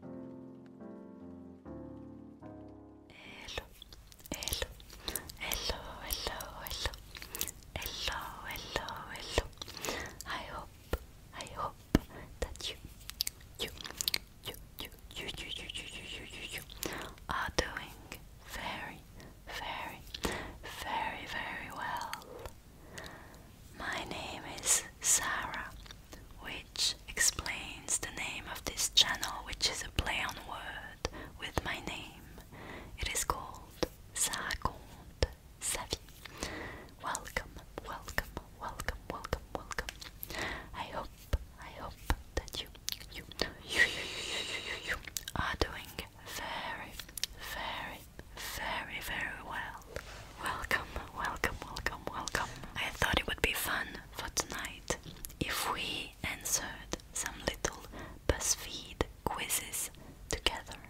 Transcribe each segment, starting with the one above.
Hello, hello, hello, hello, hello, hello, hello, hello. I hope, I hope that you, you, you, you, you, you, you, you, you, you, you are doing very, very, very, very well. My name is Sarah, which explains the name of this channel, which is a play on word with my name. It is called Sarconte Savvy. Welcome, welcome, welcome, welcome, welcome. I hope, I hope that you, you, you, you, you, you, you are doing very, very very, very well. Welcome, welcome, welcome, welcome. I thought it would be fun for tonight if we answered some little BuzzFeed quizzes together.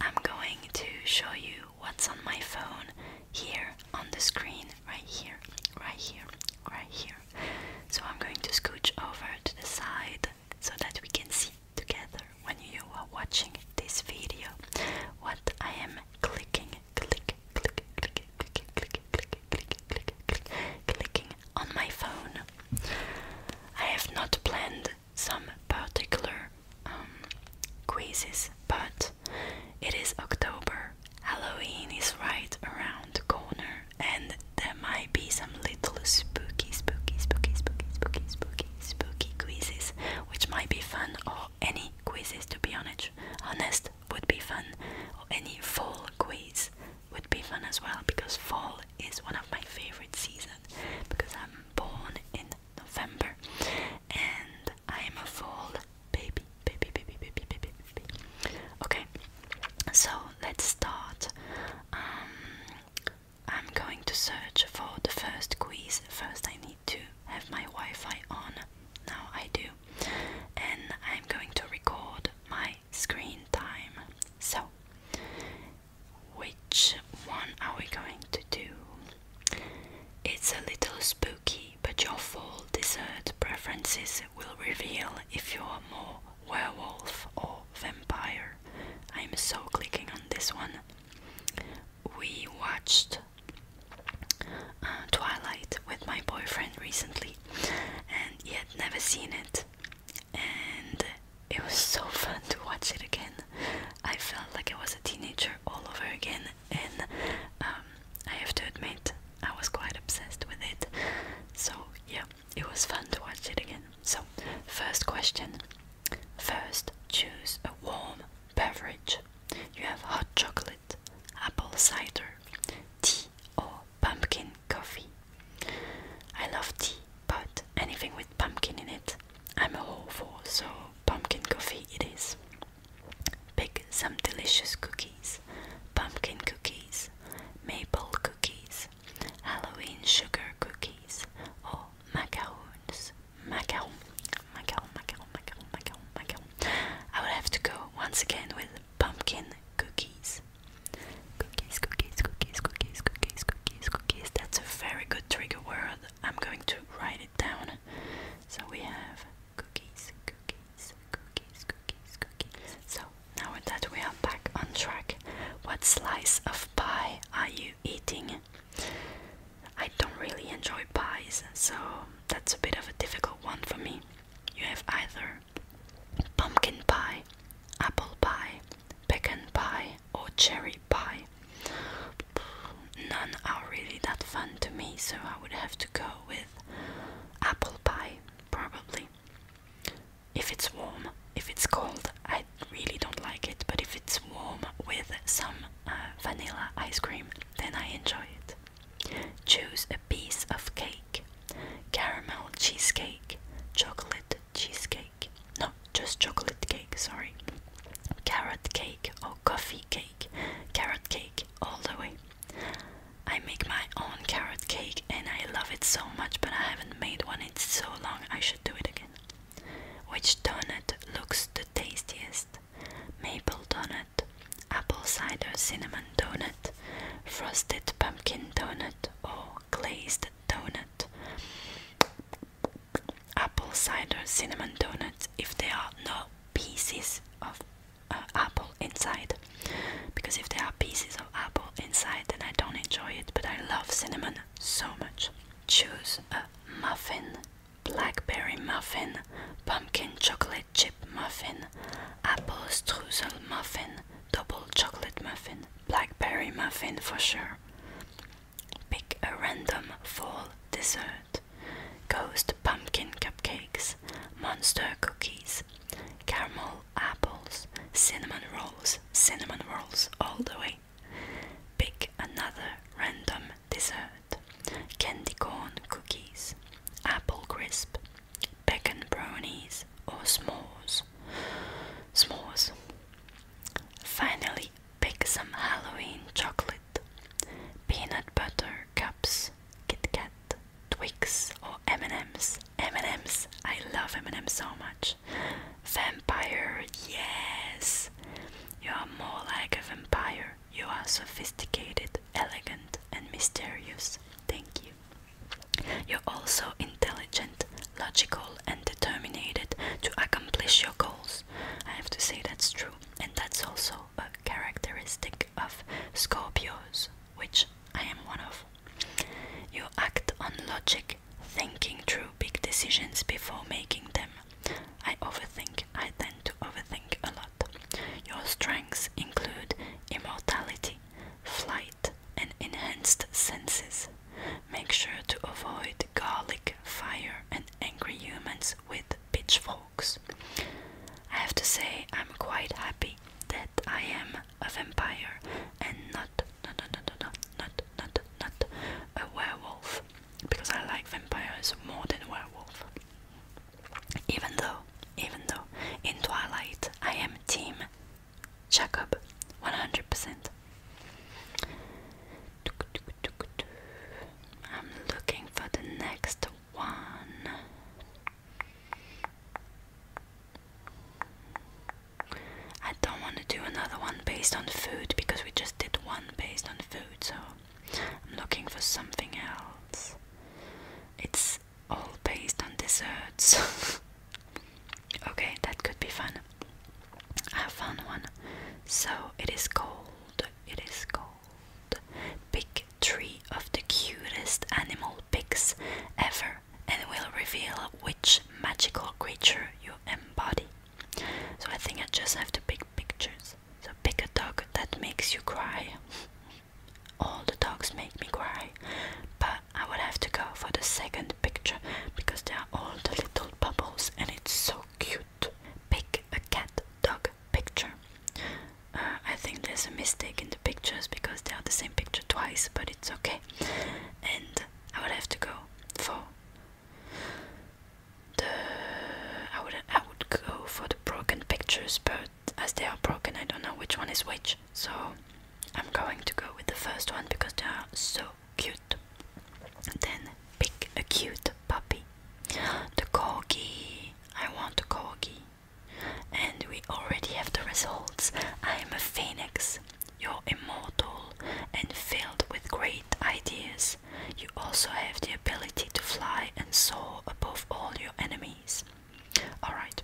I'm going to show you what's on my phone here on the screen, right here, right here, right here. So I'm going to scooch over to the side so that we can see together when you are watching this video what I am clicking, click, click, click, click, click, click, click, click, clicking on my phone. I have not planned some particular um, quizzes, but it is October. Halloween is right around the corner, and there might be some little spooky, spooky, spooky, spooky, spooky, spooky, spooky quizzes, which might be fun or or any quizzes to be honest. Honest would be fun, or any fall quiz would be fun as well because fall is one of my favorite seasons because I'm born in November and I am a fall baby, baby, baby, baby, baby, baby. Okay, so let's start. Um, I'm going to search for the first quiz. First, I need to have my Wi-Fi on. Now I do. And I'm going to record my screen time. So, which one are we going to do? It's a little spooky, but your fall dessert preferences will reveal if you're more werewolf or vampire. I'm so clicking on this one we watched uh, Twilight with my boyfriend recently, and he had never seen it, and it was so fun to watch it again. I felt like I was a teenager all over again, and um, I have to admit, I was quite obsessed with it. So, yeah, it was fun to watch it again. So, first question. First, choose a warm Beverage You have hot chocolate, apple cider, tea, or pumpkin coffee. I love tea, but anything with pumpkin in it, I'm all for, so pumpkin coffee it is. Pick some delicious cookies pumpkin cookies, maple cookies, Halloween sugar cookies, or macaroons. Macau. Macau, Macau, Macau, Macau, Macau. I will have to go once again with pumpkin cookies. Cookies, cookies, cookies, cookies, cookies, cookies, cookies. That's a very good trigger word. I'm going to write it down. So we have cookies, cookies, cookies, cookies, cookies. So now that we are back on track, what slice of pie are you eating? I don't really enjoy pies, so that's a bit of a difficult one for me. You have either pumpkin pie, apple pie, pecan pie, or cherry pie. None are really that fun to me, so I would have to go with apple pie, probably. If it's warm, if it's cold, I really don't like it, but if it's warm with some uh, vanilla ice cream, then I enjoy it. Choose a piece of cake caramel cheesecake, chocolate cheesecake, no, just chocolate cake, sorry, carrot cake or coffee cake, carrot cake all the way. I make my own carrot cake and I love it so much, but I haven't made one in so long, I should do it again. Which donut looks the tastiest? maple donut, apple cider cinnamon donut, frosted pumpkin donut, or glazed donut. Apple cider cinnamon donuts if there are no pieces of uh, apple inside. Because if there are pieces of apple inside, then I don't enjoy it, but I love cinnamon so much. Choose a muffin blackberry muffin, pumpkin chocolate chip muffin, apple strudel muffin, double chocolate muffin, blackberry muffin for sure. Pick a random fall dessert. Ghost pumpkin cupcakes, monster cookies, caramel apples, cinnamon rolls, cinnamon rolls all the way. Pick another random dessert candy corn cookies, apple crisp, bacon brownies, or s'mores. S'mores. Finally, pick some Halloween chocolate, peanut butter cups, Kit Kat, Twix, or M&M's. M&M's. I love M&M's so much. Vampire. Yes. You are more like a vampire. You are sophisticated, elegant, and mysterious. Thank you. You're also intelligent, logical, and determined to accomplish your goals. I have to say that's true, and that's also a characteristic of Scorpios, which I am one of. You act on logic, thinking through big decisions before making them, I overthink. I tend to overthink a lot. Your strengths include immortality, flight, and enhanced senses. Make sure to avoid garlic, fire, and angry humans with pitchforks. I have to say, I'm quite happy that I am a vampire and not, not, not, not, not, not, not, not a werewolf because I like vampires more than werewolf. Even though, even though, in Twilight I am Team Jacob, 100%. I'm looking for the next one. I don't want to do another one based on food because we just did one based on food, so I'm looking for something else. It's all based on desserts. okay, that could be fun. I found one. So it is called, it is called Pick Three of the Cutest Animal pics Ever and will reveal which magical creature you embody. So I think I just have to pick pictures. So pick a dog that makes you cry. All the dogs make me cry, but I would have to go for the second picture because they are all the little bubbles and it's so cute. Pick a cat dog picture. Uh, I think there's a mistake in the pictures because they are the same picture twice, but it's okay. And I would have to go for the I would I would go for the broken pictures, but as they are broken, I don't know which one is which. So I'm going to go with the first one because they are so cute. Then pick a cute puppy. The corgi. I want the corgi. And we already have the results. I am a phoenix. You're immortal and filled with great ideas. You also have the ability to fly and soar above all your enemies. Alright,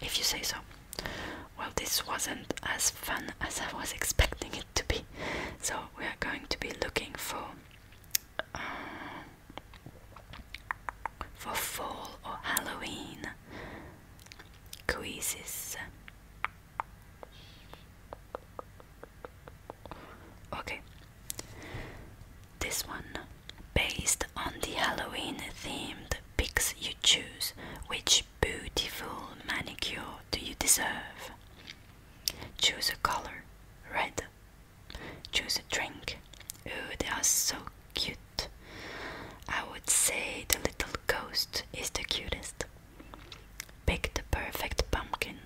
if you say so. Well, this wasn't as fun as I was expecting it to be, so we are going to be looking for. Uh, for fall or Halloween quizzes. Okay. This one, based on the Halloween themed picks. you choose, which beautiful manicure do you deserve? Choose a color, red. Choose a drink. Oh, they are so cute. I would say the little ghost is the cutest. Pick the perfect pumpkin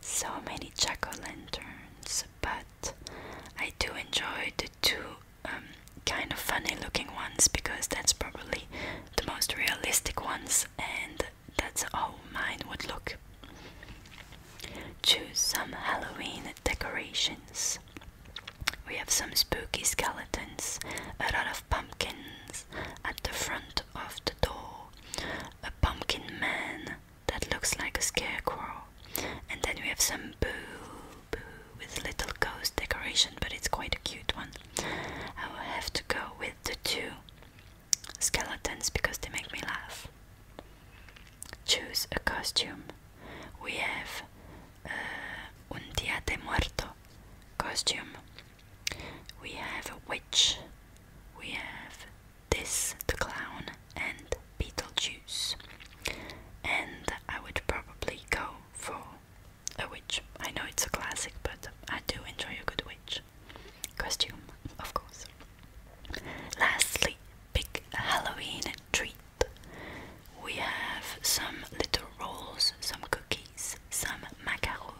so many jack-o'-lanterns, but I do enjoy the two um, kind of funny looking ones because that's probably the most realistic ones and that's how mine would look. Choose some Halloween decorations. We have some spooky skeletons, a lot of pumpkins at the front of the door a pumpkin man that looks like a scarecrow, and then we have some boo boo with little ghost decoration, but it's quite a cute one. I will have to go with the two skeletons because they make me laugh. Choose a costume. We have uh, Un Dia de Muerto costume. We have a witch. We have this, the Clown, and Beetlejuice. And I would probably go for a witch. I know it's a classic, but I do enjoy a good witch costume, of course. Lastly, pick Halloween treat. We have some little rolls, some cookies, some macarons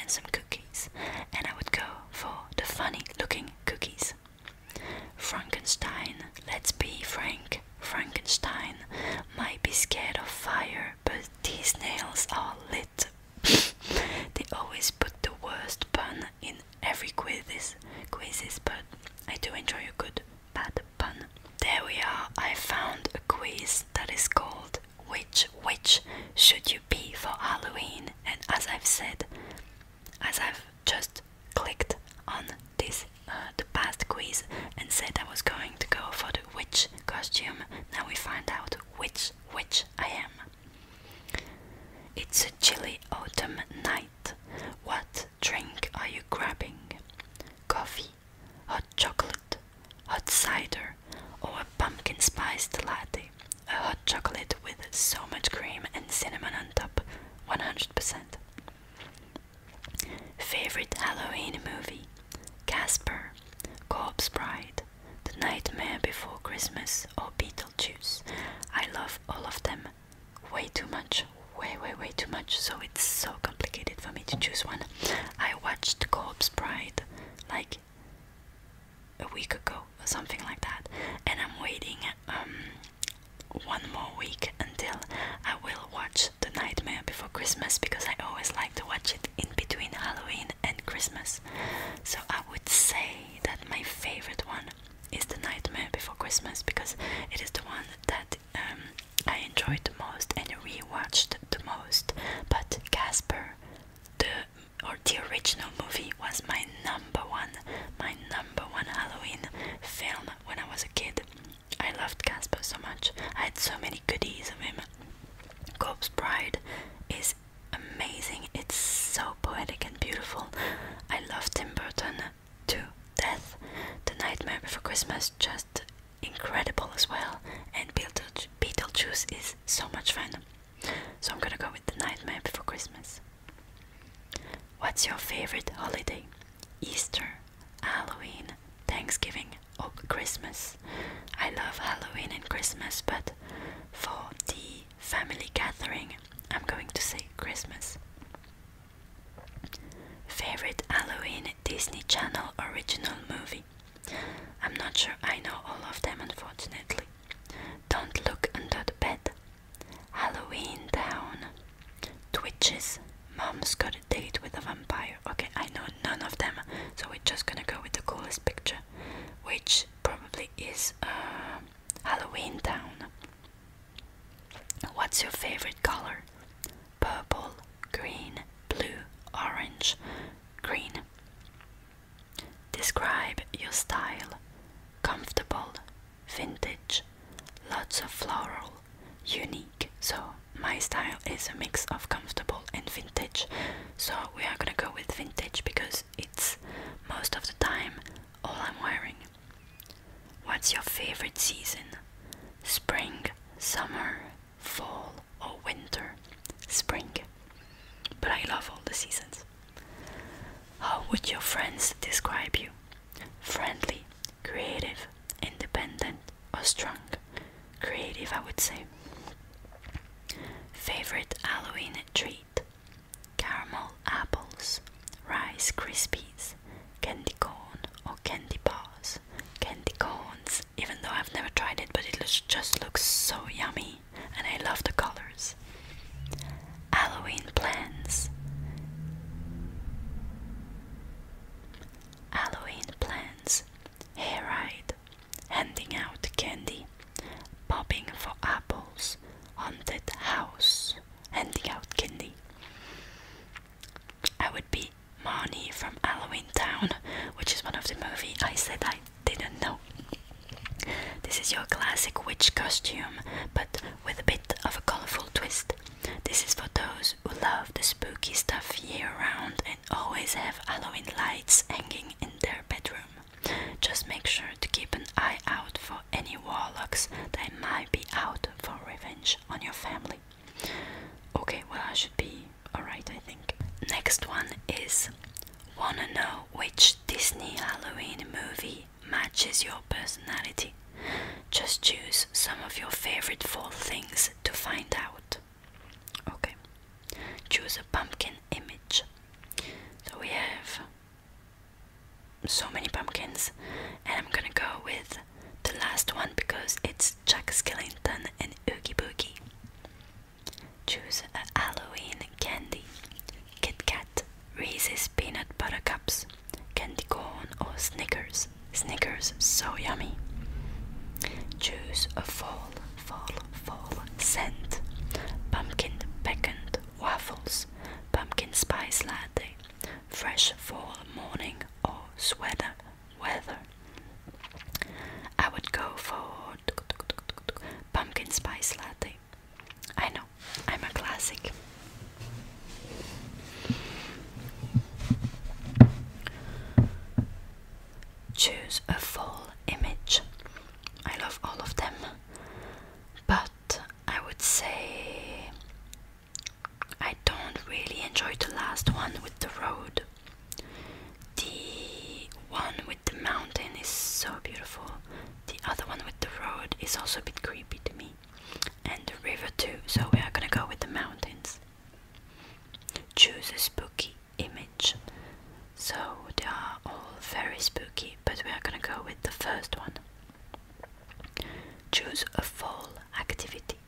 and some cookies, and I would go for the funny looking cookies. Frankenstein, let's be frank, Frankenstein might be scared of fire, but these nails are lit. they always put the worst pun in every quizzes, quizzes, but I do enjoy a good bad pun. There we are, I found a quiz that is called which witch should you be for Halloween? And as I've said, as I've just clicked on this uh, the past quiz and said I was going to go for the witch costume, now we find out which witch I am. It's a chilly autumn night. What drink are you grabbing? Coffee, hot chocolate, hot cider, or a pumpkin spiced latte, a hot chocolate with so much cream and cinnamon on top, 100%. Favorite Halloween movie? Casper, Corpse Bride, The Nightmare Before Christmas, or Beetlejuice. I love all of them way too much, way, way, way too much, so it's so complicated for me to choose one. I watched Corpse Bride like a week ago or something like that, and I'm waiting um, one more week until I will watch The Nightmare Before Christmas because I always like to watch it in between Halloween and Christmas. So I would say that my favorite one is The Nightmare Before Christmas because it is the one that um, I enjoyed the most and rewatched the most. But Casper, the or the original movie was my number one, my number one Halloween film when I was a kid. I loved Casper so much. I had so many goodies of him. Corpse Bride is amazing. It's so poetic and beautiful. I love Tim Burton to death. The Nightmare Before Christmas just incredible as well. And Beetleju Beetlejuice is so much fun. So I'm gonna go with the Nightmare Before Christmas. What's your favorite holiday? Easter, Halloween, Thanksgiving, or Christmas? I love Halloween and Christmas, but for the family gathering, I'm going to say Christmas. Favorite Halloween Disney Channel original movie? I'm not sure I know all of them, unfortunately. Don't look under the bed. Halloween Town. Twitches. Mom's got a date with a vampire. Okay, I know none of them, so we're just gonna go with the coolest picture, which probably is uh, Halloween Town. What's your favorite color? Purple, green, blue, orange, green. Describe your style comfortable, vintage, lots of floral, unique. So, my style is a mix of comfortable and vintage. So, we are gonna go with vintage because it's most of the time all I'm wearing. What's your favorite season? Spring, summer, fall, or winter? Spring. But I love all the seasons. How would your friends describe you? Friendly, creative, independent, or strong? Creative, I would say. Favorite Halloween treat? Caramel apples, Rice Krispies, candy corn, or candy bars. Candy corns, even though I've never tried it, but it just looks so yummy and I love the colors. Halloween plans. Halloween plans. Hair ride. Handing out candy. Popping for apples. Haunted house. Handing out candy. I would be Marnie from Halloween Town, which is one of the movies. I said I didn't know. This is your classic witch costume, but with a bit of a colorful twist. This is for those who love the spooky stuff year round and always have Halloween lights hanging in their bedroom. Just make sure to keep an eye out for any warlocks that might be out for revenge on your family. Okay, well, I should be alright, I think. Next one is Wanna know which Disney Halloween movie matches your personality? Just choose some of your favorite fall things to find out. Okay. Choose a pumpkin image. So we have so many pumpkins, and I'm gonna go with the last one because it's Jack Skellington and Oogie Boogie. Choose a Halloween candy Kit Kat, Reese's Peanut Butter Cups, Candy Corn or Snickers. Snickers, so yummy. Choose a fall, fall, fall scent Pumpkin Peccant Waffles, Pumpkin Spice Latte, Fresh Fall Morning or Sweater Weather. I would go for pumpkin spice latte. I know, I'm a classic. Choose a full image. I love all of them, but I would say I don't really enjoy the last one with the road. The one with the mountain is so beautiful. The other one with the road is also a bit creepy to me. And the river too, so we are gonna go with the mountains. Choose a spooky image. So they are all very spooky, but we are gonna go with the first one. Choose a fall activity.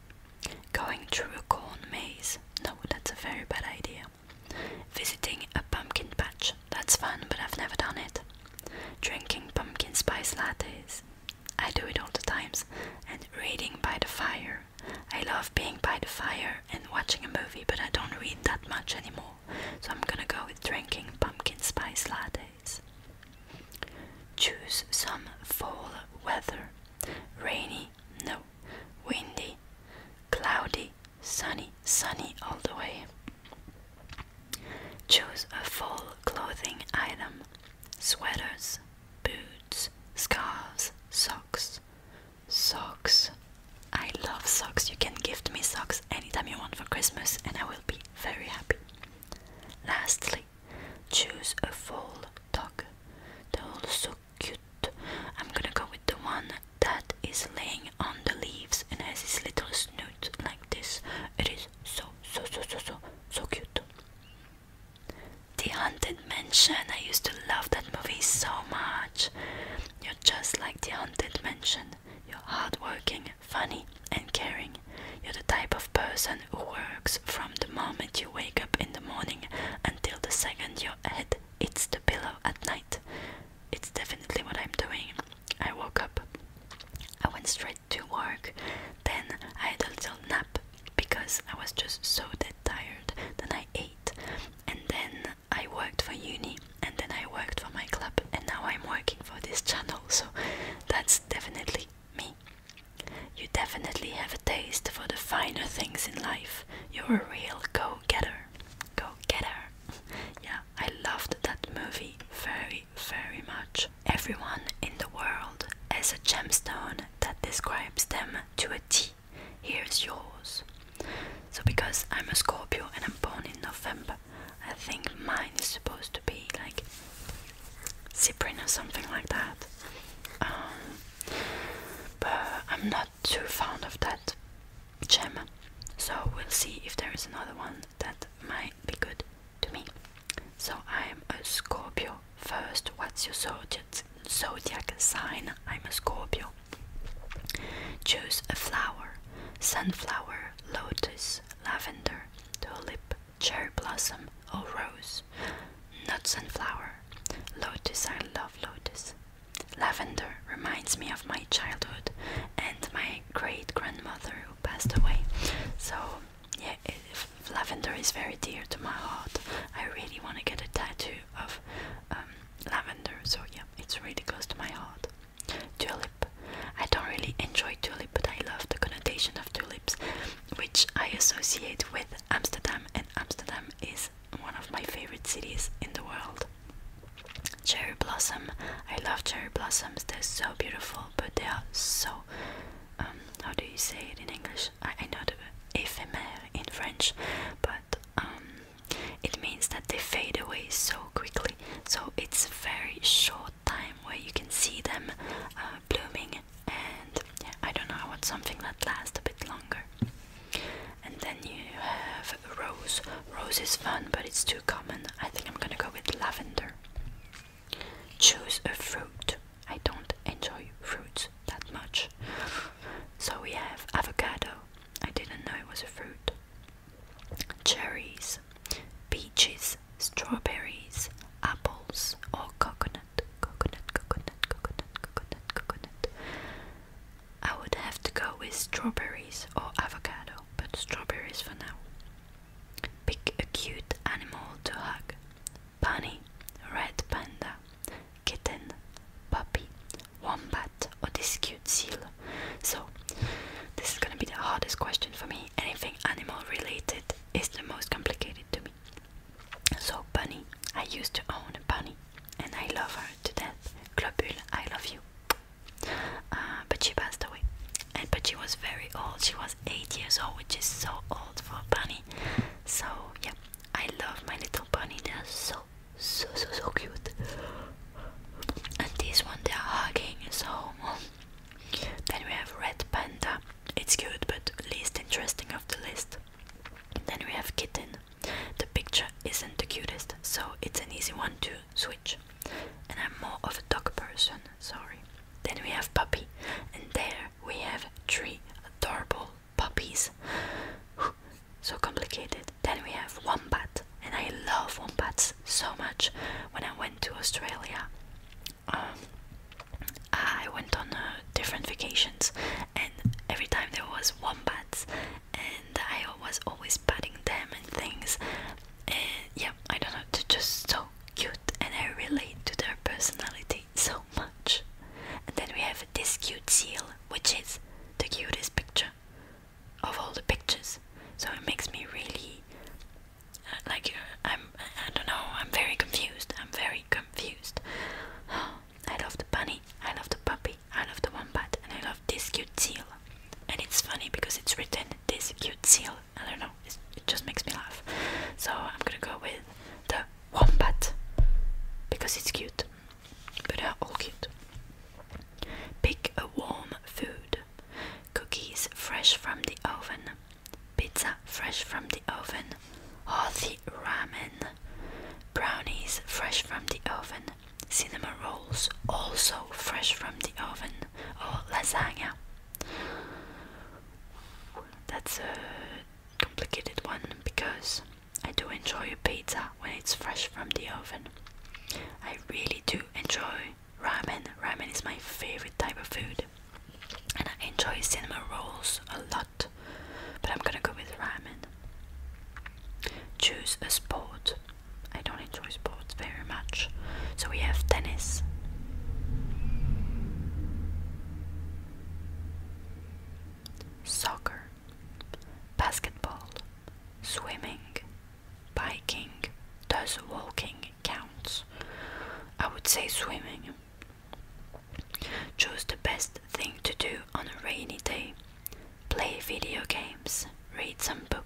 Going through a corn maze. No, that's a very bad idea. Visiting a pumpkin patch. That's fun, but I've never done it. Drinking pumpkin spice lattes. I do it all the times. And reading by the fire. I love being by the fire and watching a movie, but I don't read that much anymore. So I'm gonna go with drinking pumpkin spice lattes. Choose some fall weather. Rainy, no. Windy, cloudy, sunny, sunny, all the way. Choose a fall clothing item sweaters, boots, scarves, socks. Socks. I love socks. You can gift me socks anytime you want for Christmas, and I will be very happy. Lastly, choose a fall dog. They're all so cute. I'm gonna go with the one that is laying on the leaves and has his little snoot like this. It is so, so, so, so, so, so cute. The Haunted Mansion. I used to love that movie so much. You're just like The Haunted Mansion. You're hardworking, funny, and caring. You're the type of person who works from the moment you wake up in the morning until the second your head hits the pillow at night it's definitely what I'm doing. I woke up, I went straight to work, then I had a little nap because I was just so dead tired. Then I ate, and then I worked for uni, and then I worked for my club, and now I'm working for this channel. So that's definitely me. You definitely have a taste for the finer things in life. You're a real go getter. Go get her. yeah, I loved that movie very, very much. Everyone in the world has a gemstone that describes them to a T. Here's yours. So, because I'm a Scorpio and I'm born in November, I think mine is supposed to be like Cyprian or something like that. Um, but I'm not too fond of that gem. So we'll see if there is another one that might be good to me. So I'm a Scorpio. First, what's your zodiac, zodiac sign? I'm a Scorpio. Choose a flower sunflower, lotus, lavender, tulip, cherry blossom, or rose. Not sunflower. Lotus, I love lotus. Lavender reminds me of my childhood and my great grandmother who passed away. So yeah, it, lavender is very dear to my heart. I really want to get a tattoo of um, lavender. So yeah, it's really close to my heart. Tulip. I don't really enjoy tulip, but I love the connotation of tulips, which I associate with Amsterdam, and Amsterdam is one of my favorite cities in the world. Cherry blossom. I love cherry blossoms. They're so beautiful, but they are so. Um, how do you say it in English? I, know the éphémère in French, but um, it means that they fade away so quickly. So it's a very short time where you can see them uh, blooming, and I don't know. I want something that lasts a bit longer. And then you have rose. Rose is fun, but it's too common. I think I'm gonna go with lavender. Choose a fruit. I don't enjoy fruits that much. So we have avocado. I didn't know it was a fruit. Cherries, peaches, strawberries, apples, or coconut. Coconut, coconut, coconut, coconut, coconut. I would have to go with strawberries or avocado but strawberries for now. Pick a cute animal to hug. Bunny, red panda, kitten, puppy, wombat, or this cute seal. So, this is gonna be the hardest question for me. Anything animal related is the most complicated to me. So, bunny, I used to own a bunny and I love her to death. Globule, I love you. Uh, but she passed away. And, but she was very old. She was eight years old, which is so old for a bunny. So yeah, I love my little bunny. They're so so so so cute. And this one they're hugging. So then we have red panda. It's cute, but least interesting of the list. Then we have kitten. The picture isn't the cutest, so it's an easy one too switch. And I'm more of a dog person, sorry. Then we have puppy, and there we have three adorable puppies. so complicated. Then we have wombat, and I love wombats so much. When I went to Australia, um, I went on uh, different vacations, and every time there was wombats, and I was always patting them and things. And uh, yeah, I don't know, they're just so cute and I relate to their personality so much. And then we have this cute seal, which is the cutest picture of all the pictures. So it makes me really uh, like uh, I don't know, I'm very confused. I'm very confused. I love the bunny, I love the puppy, I love the wombat, and I love this cute seal and it's funny because it's written this cute seal. I don't know, it just makes me laugh. So I'm gonna go with the wombat because it's cute, but they're all cute. Pick a warm food cookies fresh from the oven, pizza fresh from the oven, hearty ramen, brownies fresh from the oven, Cinema rolls, also fresh from the oven, or oh, lasagna. That's a complicated one because I do enjoy pizza when it's fresh from the oven. I really do enjoy ramen. Ramen is my favorite type of food, and I enjoy cinema rolls a lot. But I'm gonna go with ramen. Choose a sport. I don't enjoy sports very much. So we have tennis. Soccer, basketball, swimming, biking, does walking count? I would say swimming. Choose the best thing to do on a rainy day. Play video games, read some books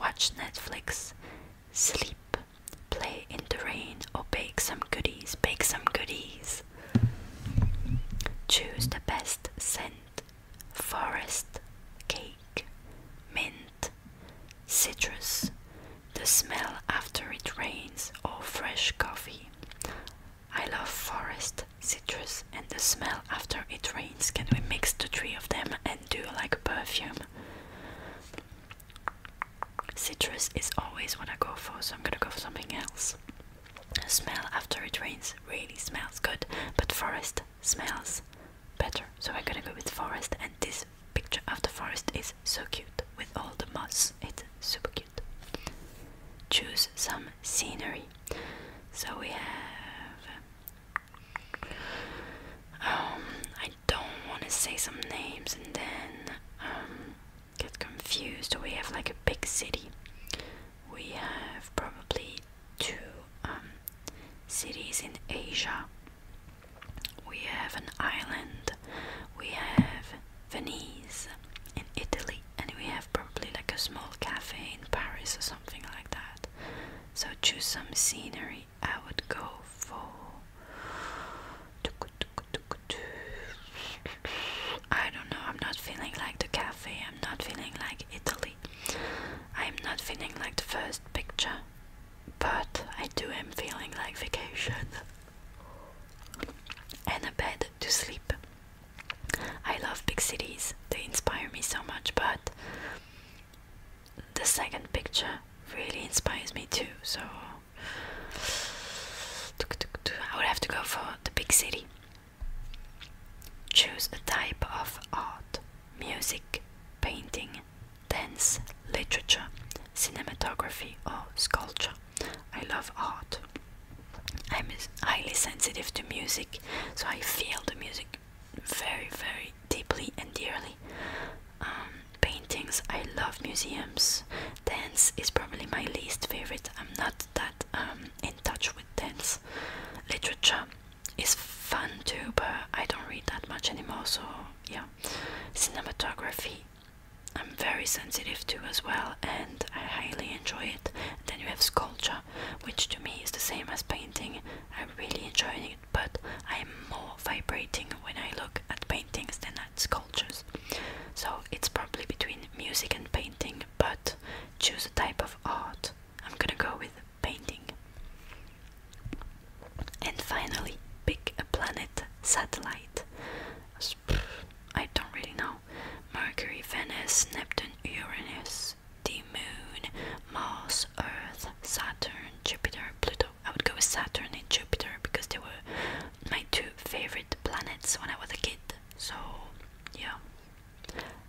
watch Netflix, sleep, play in the rain, or bake some goodies. Bake some goodies. Choose the best scent forest, cake, mint, citrus, the smell after it rains, or fresh coffee. I love forest, citrus, and the smell after it rains. Can we mix the three of them do like a perfume. Citrus is always what I go for, so I'm gonna go for something else. The smell after it rains really smells good, but forest smells better. So I'm gonna go with forest, and this picture of the forest is so cute with all the moss. It's super cute. Choose some scenery. So we have um, I don't want to say some names and then um, get confused. We have like a big city. We have probably two um, cities in Asia. We have an island. We have Venice in Italy, and we have probably like a small cafe in Paris or something like that. So choose some scenery I would go for I don't know, I'm not feeling like the cafe, I'm not feeling like Italy. I'm not feeling like the first picture, but I do am feeling like vacation and a bed to sleep. I love big cities, they inspire me so much, but the second picture really inspires me too. So I would have to go for the big city. Choose a type of art music, painting, dance, literature, cinematography, or sculpture. I love art. I'm highly sensitive to music, so I feel the music very, very deeply and dearly. Um, paintings, I love museums. Dance is probably my least favorite. I'm not that um, in touch with dance. Literature is fun too, but I don't read that much anymore. So yeah, cinematography. I'm very sensitive to as well, and I highly enjoy it. Then you have sculpture, which to me is the same as painting. I really enjoy but I am more vibrating when I look at paintings than at sculptures. So it's probably between music and painting, but choose a type of art. I'm gonna go with painting. And finally, pick a planet satellite. I don't really know. Mercury, Venus, Neptune, Uranus, the moon, Mars, Earth, Saturn, Jupiter, Pluto. I would go with Saturn and Jupiter because they were my two favorite planets when I was a kid. So, yeah.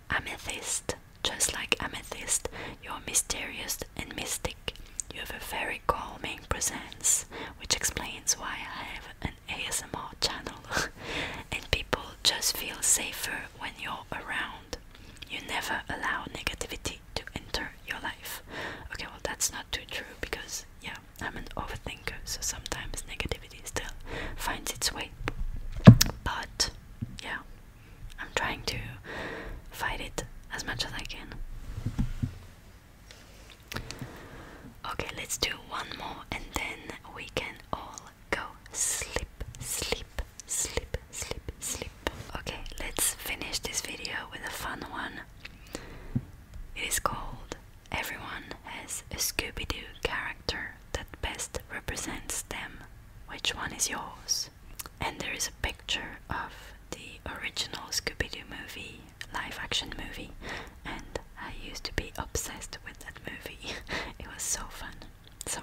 Amethyst. Just like Amethyst, you're mysterious and mystic. You have a very calming presence, which explains why I have an ASMR channel. and people just feel safer when you're around. You never allow negativity to enter your life. Okay, well, that's not too true because, yeah, I'm an overthinker, so sometimes negativity still finds its way. But, yeah, I'm trying to fight it as much as I can. Okay, let's do one more and then we can all go sleep, sleep, Sleep, sleep, sleep. Okay, let's finish this video with a fun one. It is called Everyone Has a Scooby Doo Character That Best Represents Them. Which one is yours? And there is a picture of the original Scooby Doo movie, live action movie, and I used to be obsessed with that movie. it was so fun. So,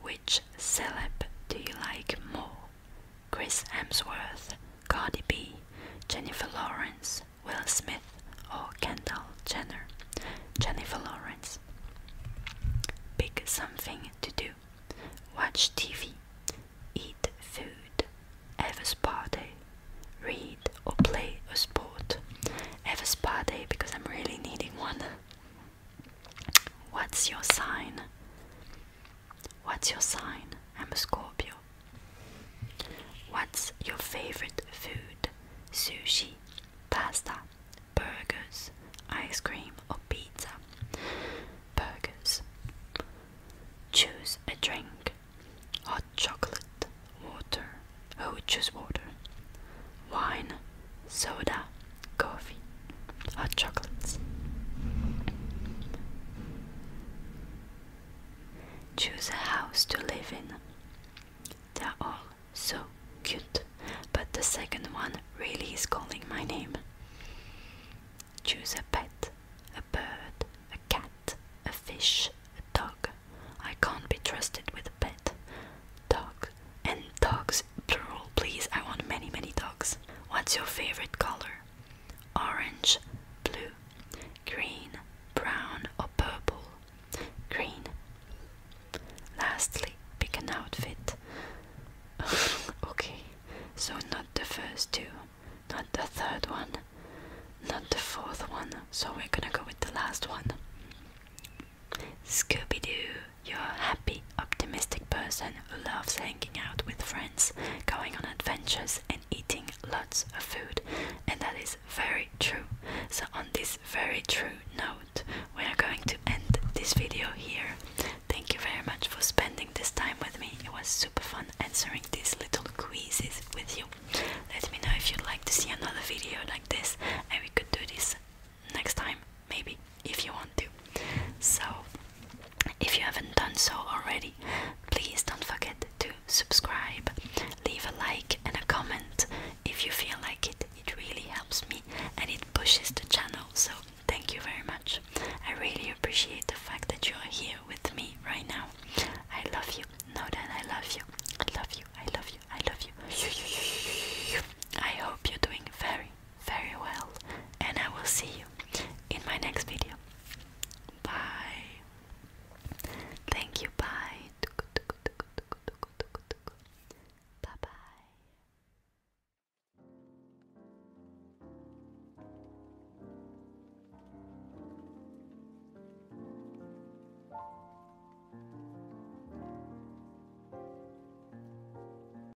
which celeb do you like more? Chris Hemsworth, Cardi B, Jennifer Lawrence, Will Smith, or Kendall Jenner. Jennifer Lawrence. Pick something to do. Watch TV. Eat food. Have a spa day. Read or play a sport. Have a spa day because I'm really needing one. What's your sign? What's your sign? I'm a Scorpio. What's your favorite food? Sushi, pasta, burgers, ice cream, or pizza? Burgers. Choose a drink hot chocolate, water. Oh, choose water. Wine, soda, coffee, hot chocolates. Choose a house to live in. They're all so cute, but the second one really is calling my name. Choose a pet, a bird, a cat, a fish, a dog. I can't be trusted with a pet. Dog and dogs plural, please. I want many, many dogs. What's your favorite color? Orange, blue, green, brown, or purple? Green. Lastly, pick an outfit. okay, so not the first two, not the third one, not the fourth one, so we're gonna go with the last one. Scooby Doo. You're a happy, optimistic person who loves hanging out with friends, going on adventures, and eating lots of food. And that is very true. So, on this very true note, we are going to end this video here. Thank you very much for spending this time with me. It was super fun answering these little quizzes with you. Let me know if you'd like to see another video like this, and we could do this next time, maybe, if you want to. So, if you haven't done so already, please don't forget to subscribe, leave a like, and a comment if you feel like it. It really helps me and it pushes the channel. So, thank you very much. I really appreciate the fact that you are here with me right now. I love you. Know that I love you. I love you. I love you. I love you. I hope you're doing very, very well, and I will see you in my next video. Bye. Thank you. Bye. Bye bye.